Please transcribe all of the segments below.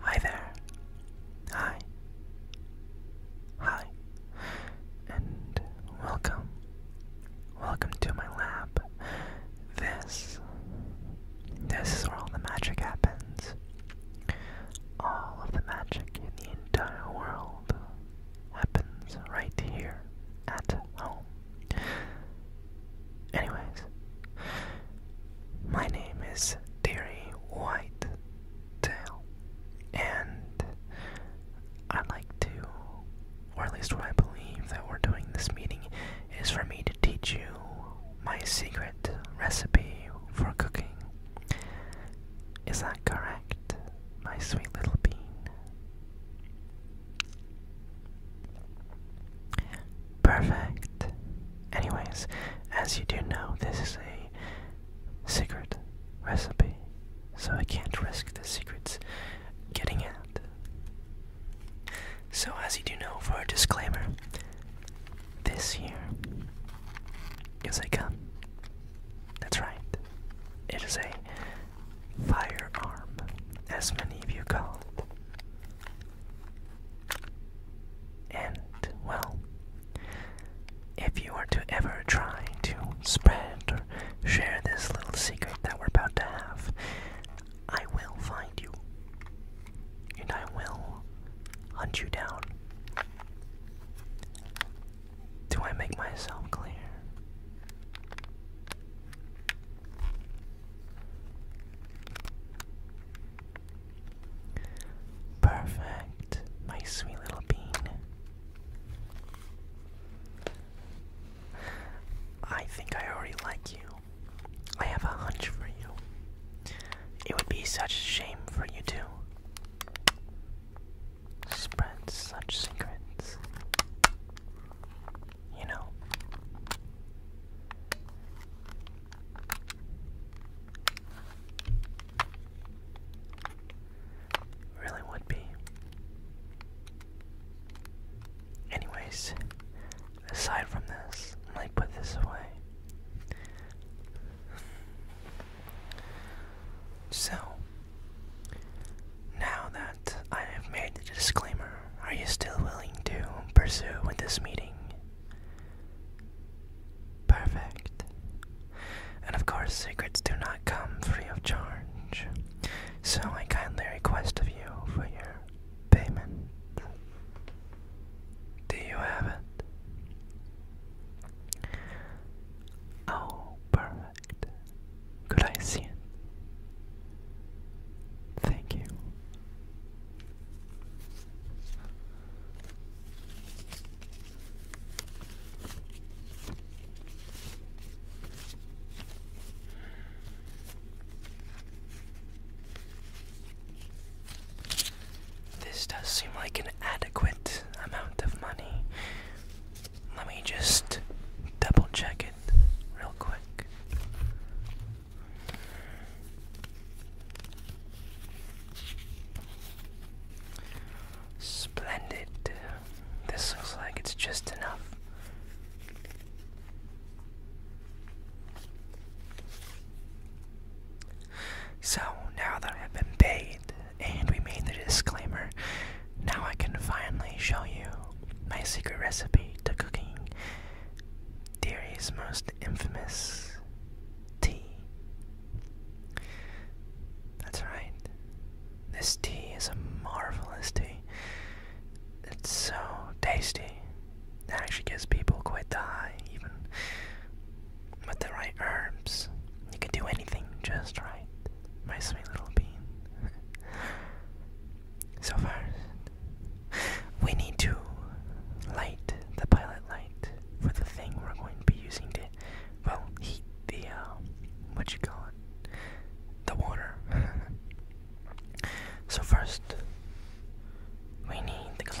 Hi there. Hi. Hi. And welcome. Welcome to my lab. This. This is where all the magic happens. All of the magic in the entire world happens right here at home. Anyways, my name is Terry White and I like to, or at least what I believe that we're doing this meeting is for me to teach you my secret recipe for cooking. Is that correct, my sweet little bean? Perfect. Anyways, as you do know, this is a secret recipe, so I can't risk the secrets getting out. So, as you do know, for a disclaimer, this year, here is I come. That's right, it is a firearm, as many of you call it. And, well, if you are to ever try to spread or share this little secret that we're about to have, I will find you. And I will hunt you down. Do I make myself clear? Perfect, my sweet little bean. I think I already like you. I have a hunch for you. It would be such a shame for you to spread such secrets you know? Really would be. Anyways, aside from this, I might put this away. So, now that I have made the disclaimer, are you still willing to pursue with this meeting? Perfect. And of course, secrets do not come free of charge, so I kindly request of you for your payment. Do you have it? Oh, perfect. Could I see it? Thank you. This does seem like an adequate amount of money. Let me just double check it real quick. Splendid. This looks like it's just enough. So now that I've been paid, and we made the disclaimer. Now I can finally show you my secret recipe to cooking dairy's most infamous tea. That's right. This tea is a marvelous tea. It's so tasty. It actually gives people quite the high, even with the right herbs. You can do anything just right my sweet little bean. so first, we need to light the pilot light for the thing we're going to be using to, well, heat the, uh, what you call it, the water. so first, we need the glass.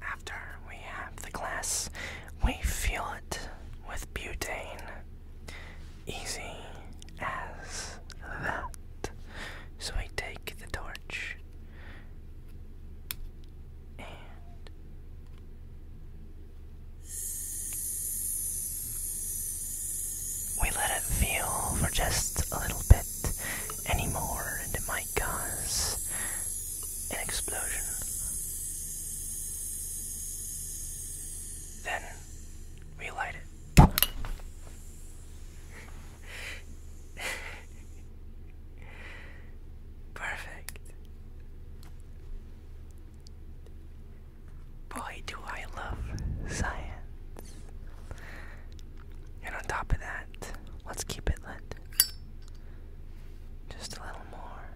After we have the glass, we fill it with butane. Easy as that. So we take the torch and we let it feel for just a little bit anymore, and it might cause an explosion. Then we light it. Perfect. Boy, do I love science. And on top of that, let's keep it lit. Just a little more.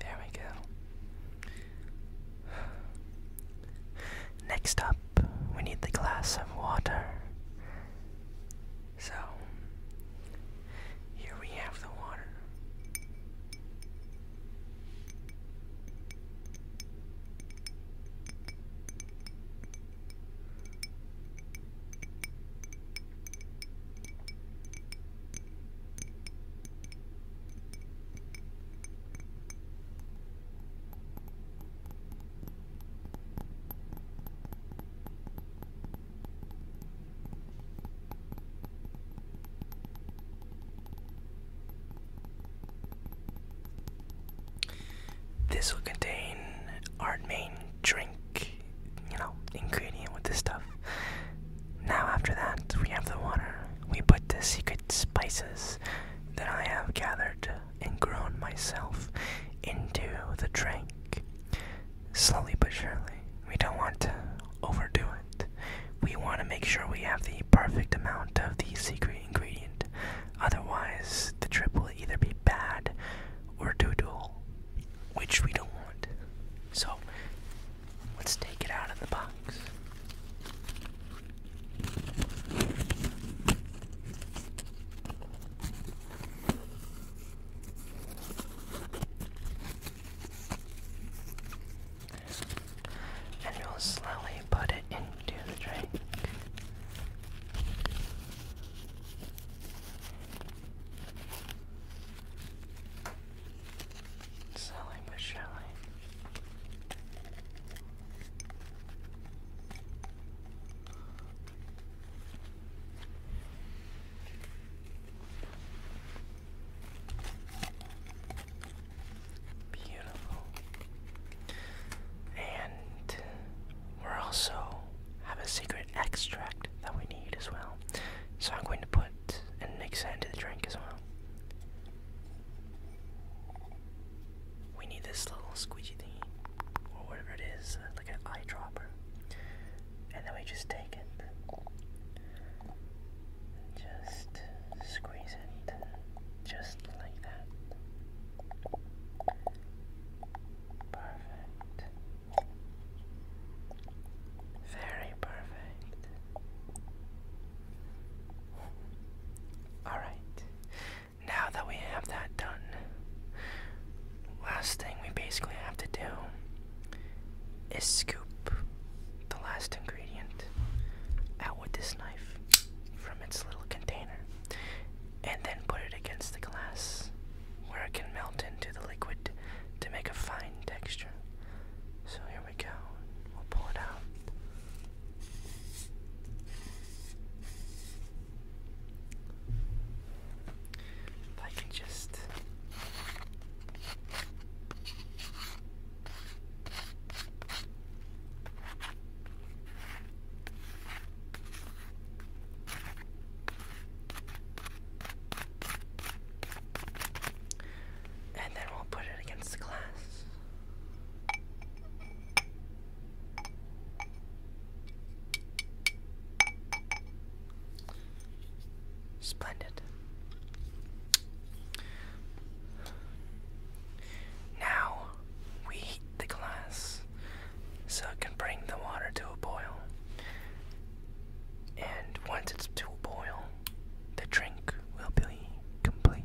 There we go. Next up, we need the glass of water. So, here we have the water. This will contain our main drink, you know, ingredient with this stuff. Now, after that, we have the water. We put the secret spices that I have gathered and grown myself into the drink slowly but surely. We don't want to overdo it. We want to make sure we have the perfect amount of the secret ingredient. Otherwise, the trip will either be bad or do doodle, which we don't want. So, let's take it out of the box. And you will slowly put it into the drink. Slowly but surely. Beautiful. And we also have a secret extract that we need as well. So I'm going to put and mix that into the drink as well. We need this little squeegee thing or whatever it is, like an eyedropper and then we just take it. Just squeeze it, just like that. Perfect. Very perfect. Alright, now that we have that done, last thing we basically have to do is scoop the last ingredient out with this knife from its little container and then put it against the glass where it can melt into the liquid to make a fine texture. So here we go. We'll pull it out. I can just and then we'll put it against the glass. Splendid. Now we heat the glass so it can bring the water to a boil. And once it's to a boil, the drink will be complete.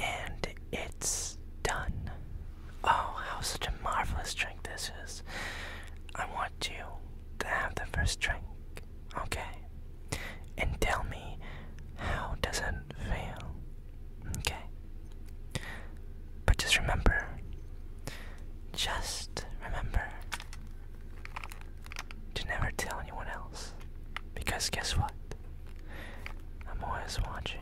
And it's done. Oh, how such a marvelous drink this is. I want you to have the first drink, okay? And tell me how does it feel, okay? But just remember, just remember, to never tell anyone else. Because guess what? I'm always watching.